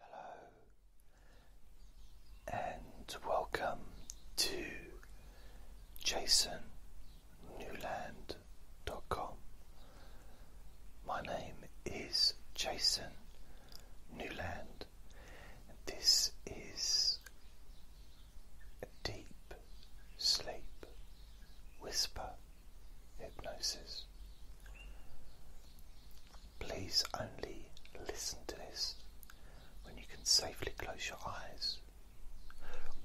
Hello, and welcome to jasonnewland.com. My name is Jason Newland, and this is a deep sleep whisper hypnosis. Please only listen to this when you can safely close your eyes,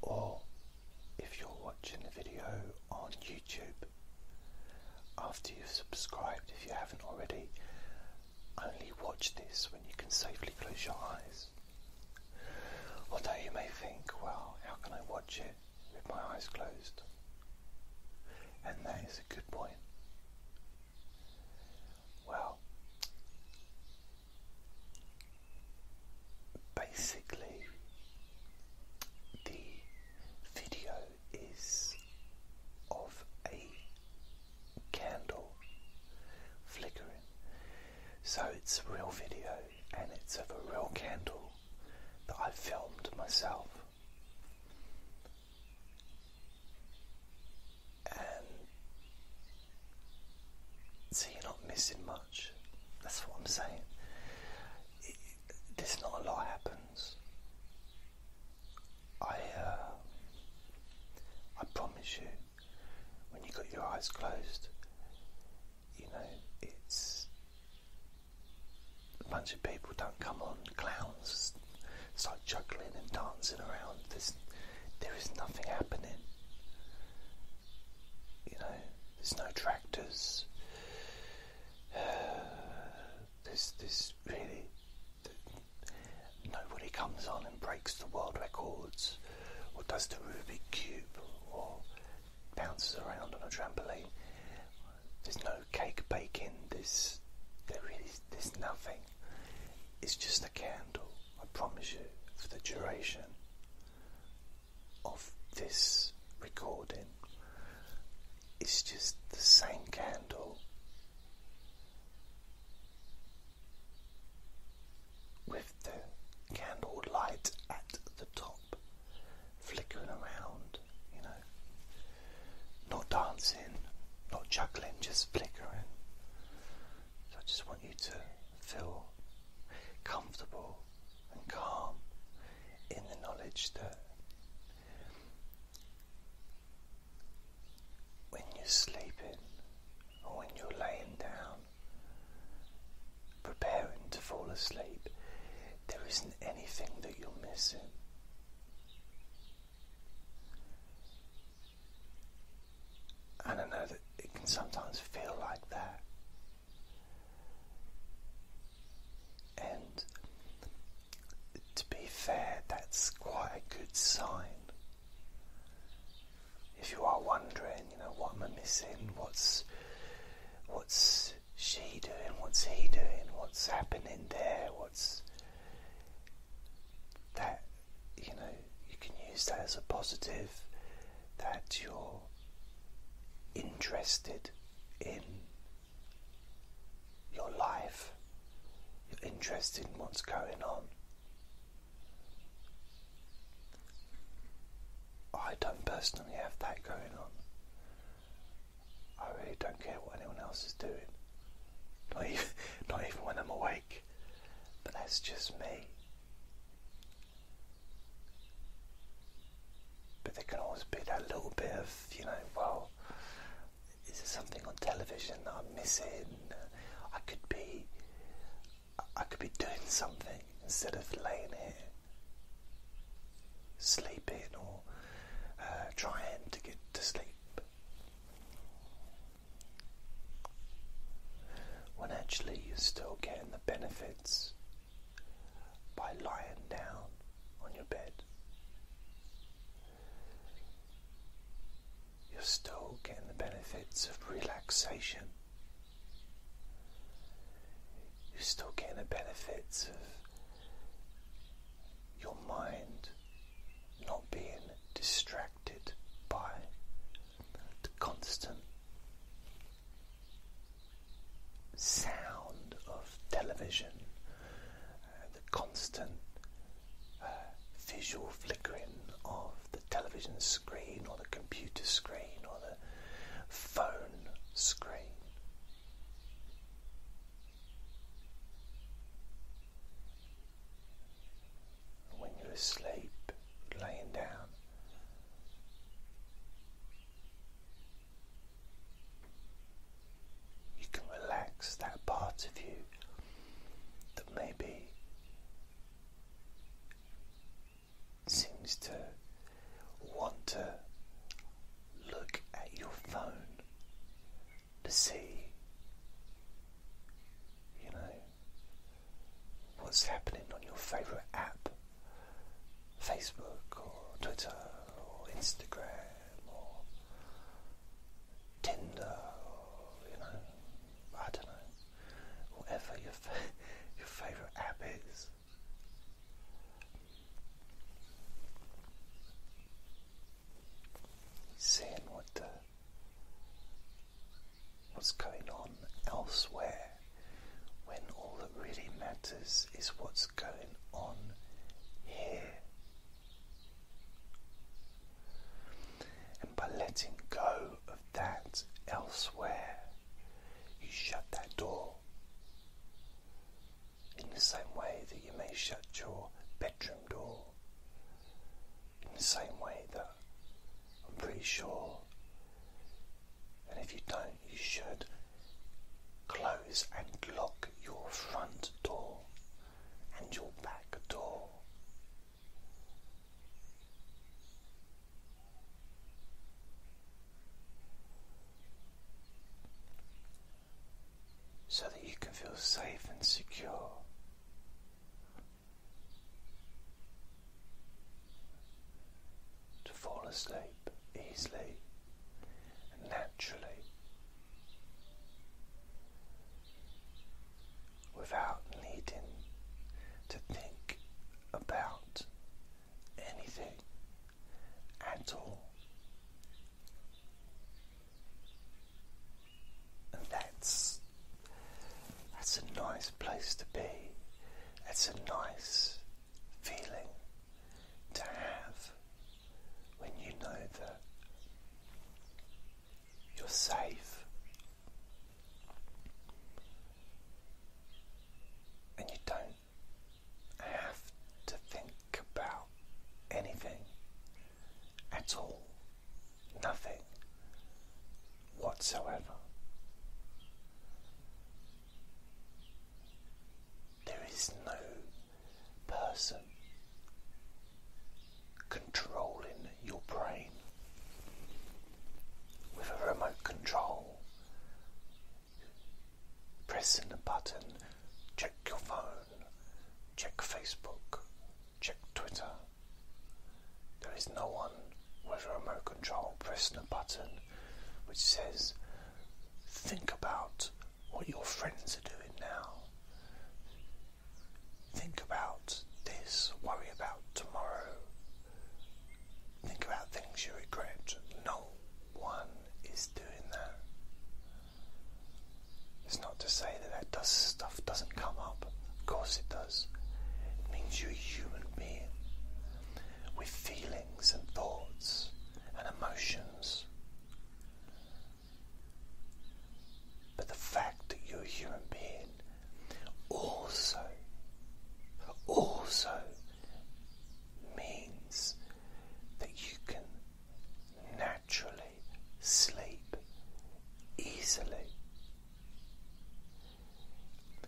or if you're watching the video on YouTube after you've subscribed, if you haven't already, only watch this when you can safely close your eyes. Although you may think, well, how can I watch it? with my eyes closed. And that is a good point. Well, basically, the video is of a candle flickering. So it's a real video and it's of a real candle that I filmed myself so you're not missing much. That's what I'm saying. there's not a lot happens. I uh, I promise you, when you got your eyes closed, you know it's a bunch of people don't come on, clowns start juggling and dancing around. There's, nothing happening. You know, there's no tractors. there's, there's really nobody comes on and breaks the world records or does the Rubik's Cube or bounces around on a trampoline. There's no cake baking. There's there's nothing. It's just a candle. I promise you, for the duration of this recording, it's just the same candle with the candle light at the top flickering around, you know. Not dancing, not juggling, just flickering. So I just want you to feel comfortable and calm in the knowledge that when you're sleeping or when you're laying down, preparing to fall asleep, there isn't anything that you're missing. And I know that it can sometimes feel like that. And to be fair, that's quite a good sign. If you are wondering, you know, what am I missing? What's what's What's she doing? What's he doing? What's happening there? What's that? You know, you can use that as a positive that you're interested in your life, you're interested in what's going on. I don't personally have that going on. I really don't care what anyone else is doing. Not even, when I'm awake. But that's just me. But there can always be that little bit of, you know, well, is there something on television that I'm missing? I could be, I could be doing something instead of laying here sleeping or uh, trying to get to sleep, when actually you're still getting the benefits by lying down on your bed. You're still getting the benefits of relaxation you're still getting the benefits of your mind not being distracted by the constant sound of television, uh, the constant uh, visual flickering of the television screen or the computer screen or the phone screen. When you're asleep, laying down, you can relax that part of you that maybe seems to want to look at your phone to see, you know, what's happening on your favourite app, Facebook or Twitter or Instagram or Tinder you know, I don't know, whatever your, your favourite app is. Seeing what's going on elsewhere when all that really matters is what's going on here. And by letting go of that elsewhere, you shut that door. In the same way that you may shut your bedroom door. In the same way that I'm pretty sure, and if you don't, you should close and lock your front door and your back door so that you can feel safe and secure. To fall asleep easily and naturally without needing to think about anything at all. And that's that's a nice place to be. That's a nice feeling to have when you know that you're safe and you don't have to think about anything at all, nothing whatsoever. There is no person controlling your brain brain with a remote control. Pressing the button, check your phone, check Facebook, check Twitter. There is no one with a remote control pressing a button which says, Think about what your friends are doing now. Think about this, worry about tomorrow. Think about things you regret. No one is doing that. It's not to say that that stuff doesn't come up. Of course it does. It means you're a human being with feelings and thoughts and emotions. But the fact that you're a human being also also means that you can naturally sleep easily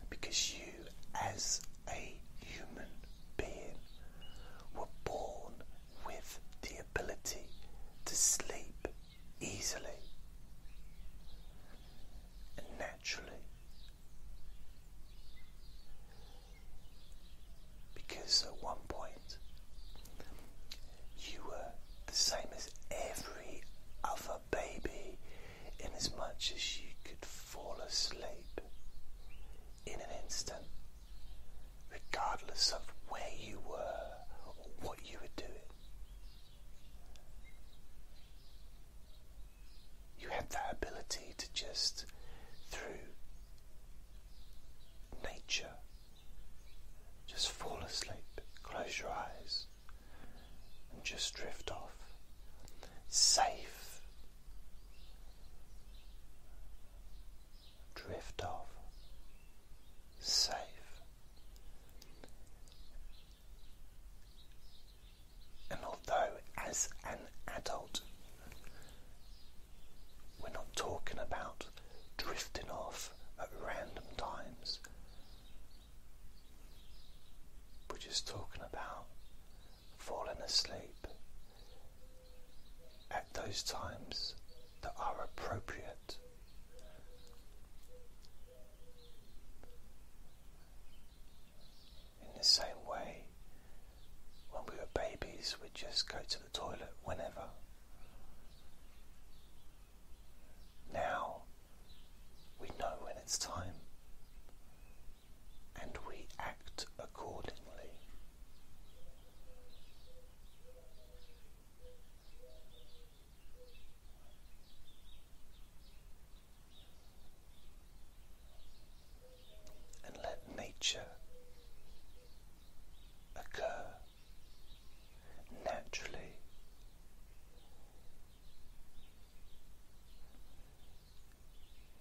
because you as a human being were born with the ability to sleep easily and naturally because at one point you were the same as every other baby in as much as you could fall asleep in an instant regardless of where you were or what you were doing you have that ability to just, through nature, just fall asleep, close your eyes, and just drift off. Safe. Drift off. Safe. And although, as an adult, we're not talking about drifting off at random times, we're just talking about falling asleep at those times that are appropriate in the same way, when we were babies, we'd just go to the toilet whenever. Now we know when it's time and we act accordingly and let nature occur naturally.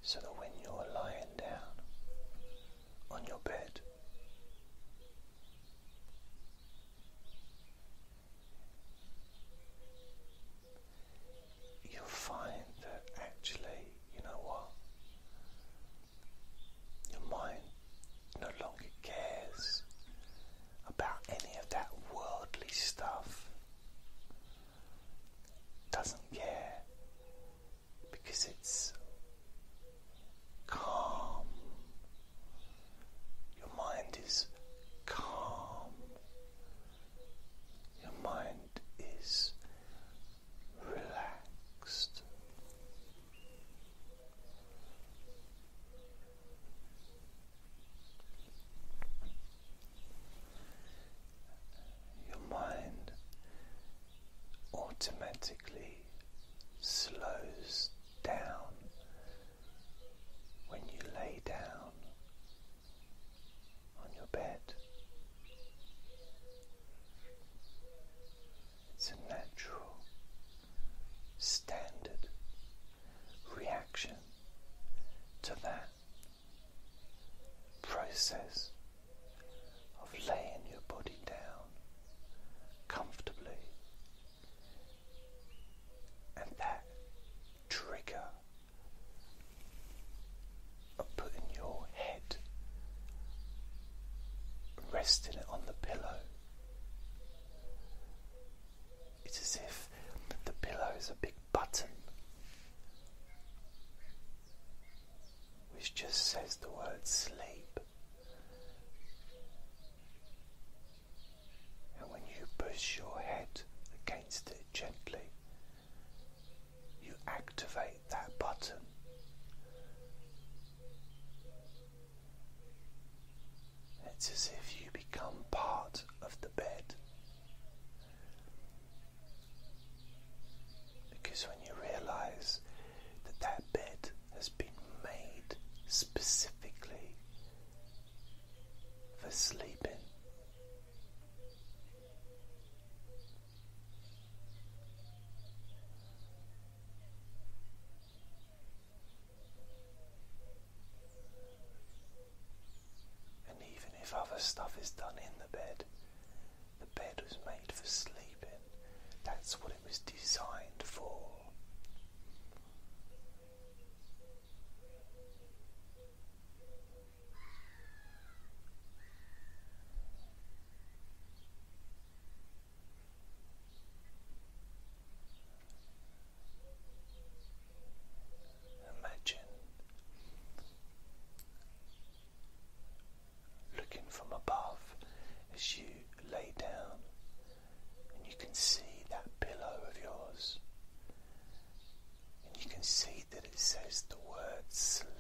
So that when you're lying down on your bed, you'll find that actually, you know what? Your mind no longer cares about any of that worldly stuff. Doesn't care because it's calm your mind is calm. Your mind is relaxed. Your mind automatically slows down when you lay down on your bed. It's a natural, standard reaction to that process of laying your body down comfortably and that trigger of putting your head, resting it on the pillow. It's as if the pillow is a big button which just says the word sleep. And when you push your head against it gently, you activate that button. It's as if you become part of the bed. Because when you realize that that bed has been made specifically for sleeping. And even if other stuff is done in the bed, the bed was made for sleeping. That's what was designed for. Imagine looking from above as you lay down and you can see that pillow of yours, and you can see that it says the word sleep.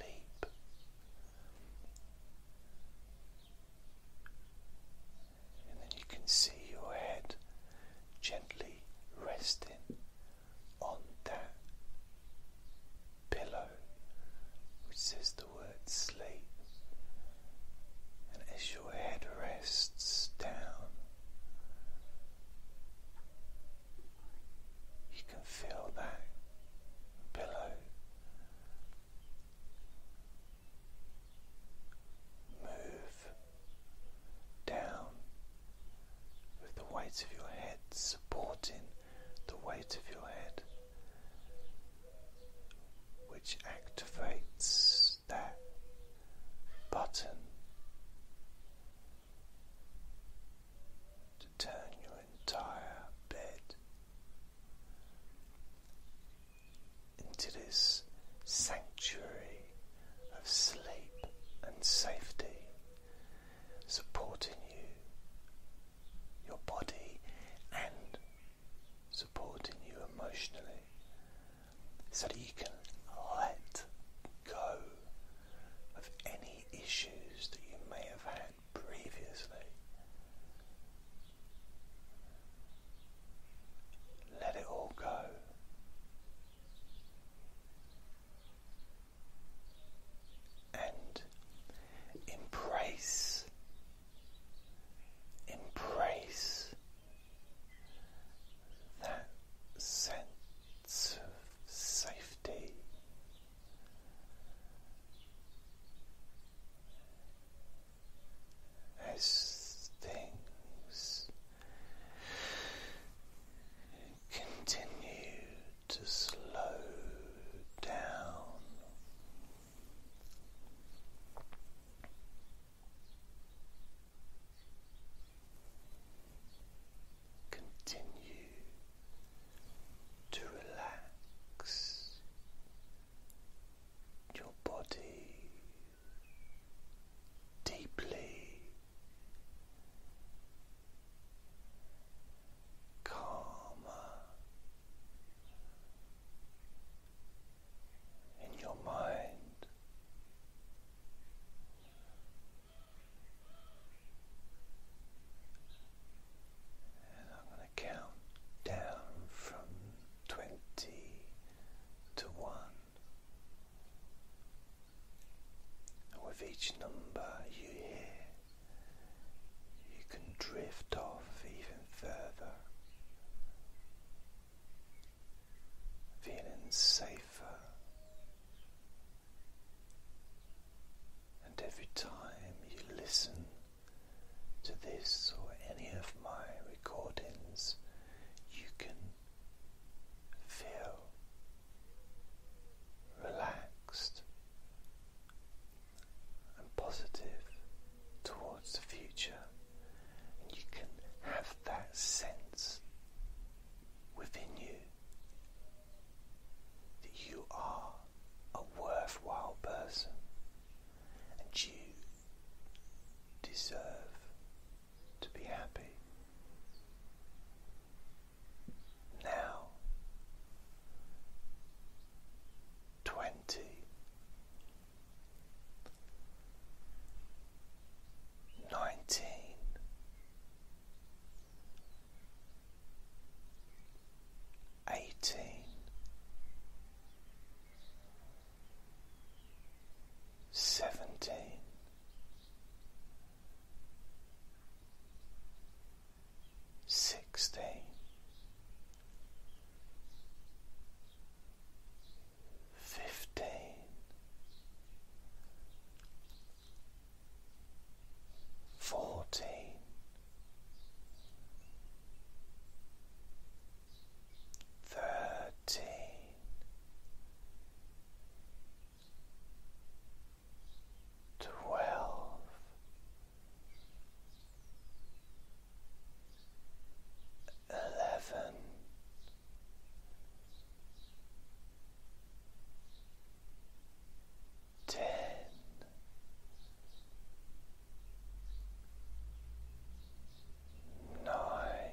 And then you can see your head gently resting on that pillow, which says the the word sleep, and as your head rests down, you can feel that pillow move down with the weight of your head supporting the weight of your head which activates that button to turn your entire bed into this sanctuary of sleep and safety, supporting you your body and supporting you emotionally so that you can let go of any issues that you may have had previously. Let it all go. And embrace Embrace that sense of safety. As things continue to slow down Continue to relax your body deeply, calmer in your mind. And I'm going to count down from 20 to 1. with each number you hear, you can drift off even further, feeling safer. And every time you listen to this or any of my recordings, you can feel relaxed, and positive towards the future, and you can have that sense within you that you are a worthwhile person and you deserve to be happy. Now twenty, nineteen, eighteen, seventeen sixteen, fifteen, fourteen, thirteen. Twelve, eleven, ten, nine